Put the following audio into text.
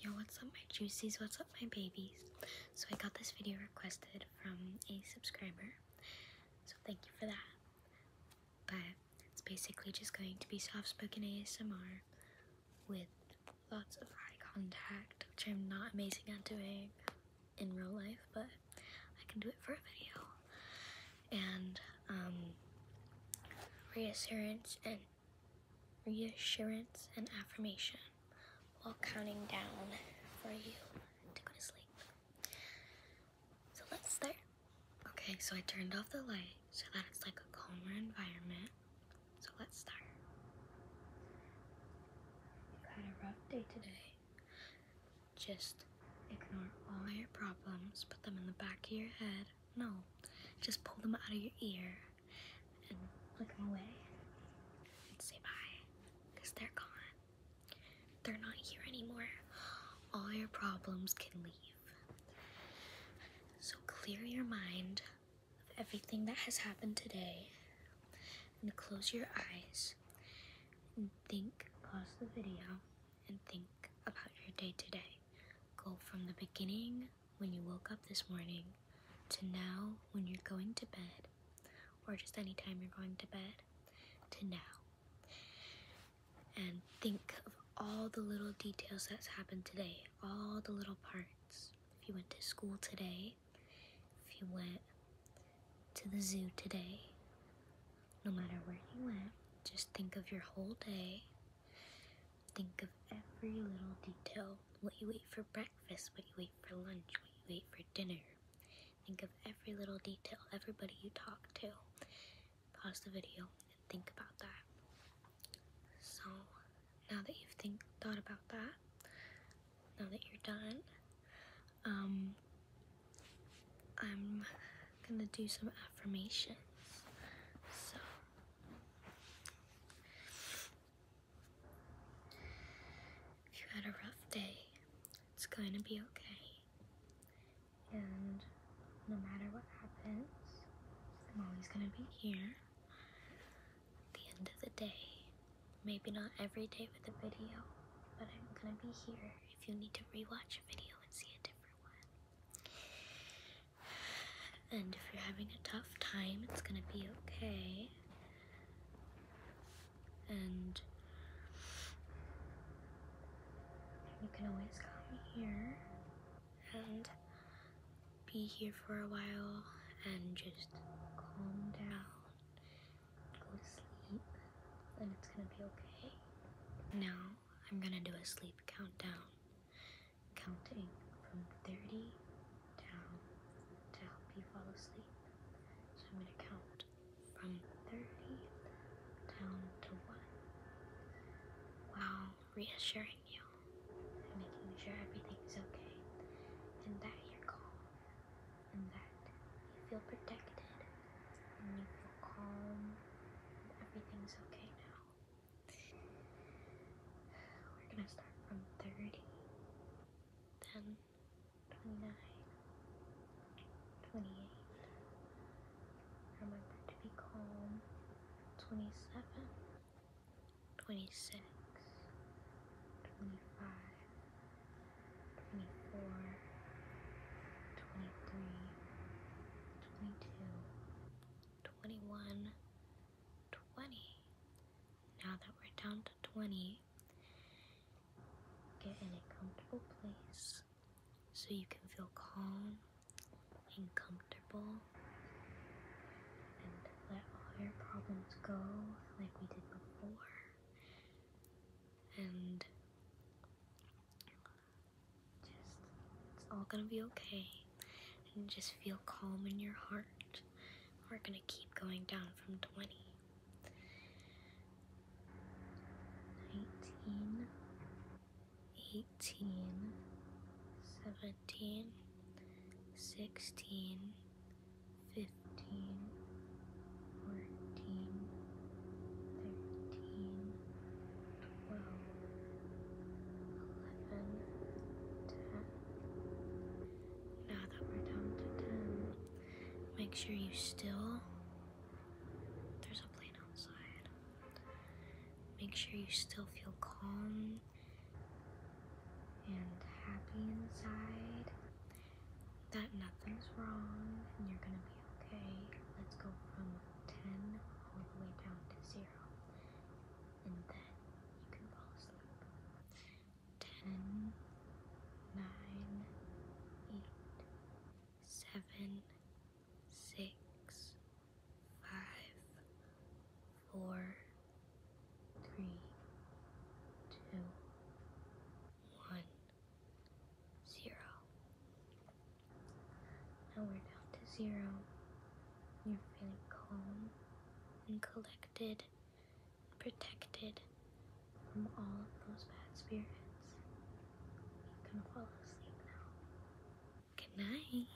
Yo, what's up, my juicies? What's up, my babies? So, I got this video requested from a subscriber, so thank you for that. But it's basically just going to be soft spoken ASMR with lots of eye contact, which I'm not amazing at doing in real life, but I can do it for a video. And, um, reassurance and reassurance, and affirmation while counting down for you to go to sleep. So let's start. Okay, so I turned off the light so that it's like a calmer environment. So let's start. You had a rough day today. Just ignore all your problems, put them in the back of your head, no, just pull them out of your ear and look them away and say bye because they're gone. They're not here anymore. All your problems can leave. So clear your mind of everything that has happened today and close your eyes and think pause the video and think about your day today. Go from the beginning when you woke up this morning to now when you're going to bed, or just any time you're going to bed, to now. And think of all the little details that's happened today, all the little parts. If you went to school today, if you went to the zoo today, no matter where you went, just think of your whole day. Think of every little detail what you ate for breakfast, what you ate for lunch, what you ate for dinner. Think of every little detail, everybody you talked to. Pause the video and think about that. So, now that you've think, thought about that, now that you're done, um, I'm gonna do some affirmations. So, if you had a rough day, it's going to be okay. And no matter what happens, I'm always gonna be here at the end of the day. Maybe not every day with a video, but I'm gonna be here if you need to rewatch a video. And if you're having a tough time, it's gonna be okay. And you can always come here and be here for a while and just calm down go to sleep and it's gonna be okay. Now I'm gonna do a sleep countdown, counting from 30 down to help you fall asleep. So I'm gonna count from 30 down to 1 while reassuring you and making sure everything's okay and that you're calm and that you feel protected and you feel calm and everything's okay now. We're gonna start from 30, then 29, 28. Remember to be calm. 27, 26, 25, 24, 23, 22, 21, 20. Now that we're down to 20, get in a comfortable place so you can feel calm and comfortable and let all your problems go like we did before and just it's all gonna be okay. And just feel calm in your heart. We're gonna keep going down from 20. 19, 18, 17, 16, fifteen, fourteen, thirteen, twelve, eleven, ten. Now that we're down to ten, make sure you still there's a plane outside. Make sure you still feel calm and happy inside that nothing's wrong and you're gonna be okay. Let's go from 10 all the way down to 0 and then you can fall asleep. 10, four, three, two, one, zero. Now we're down to zero. You're feeling calm and collected and protected from all of those bad spirits. You can fall asleep now. Good night.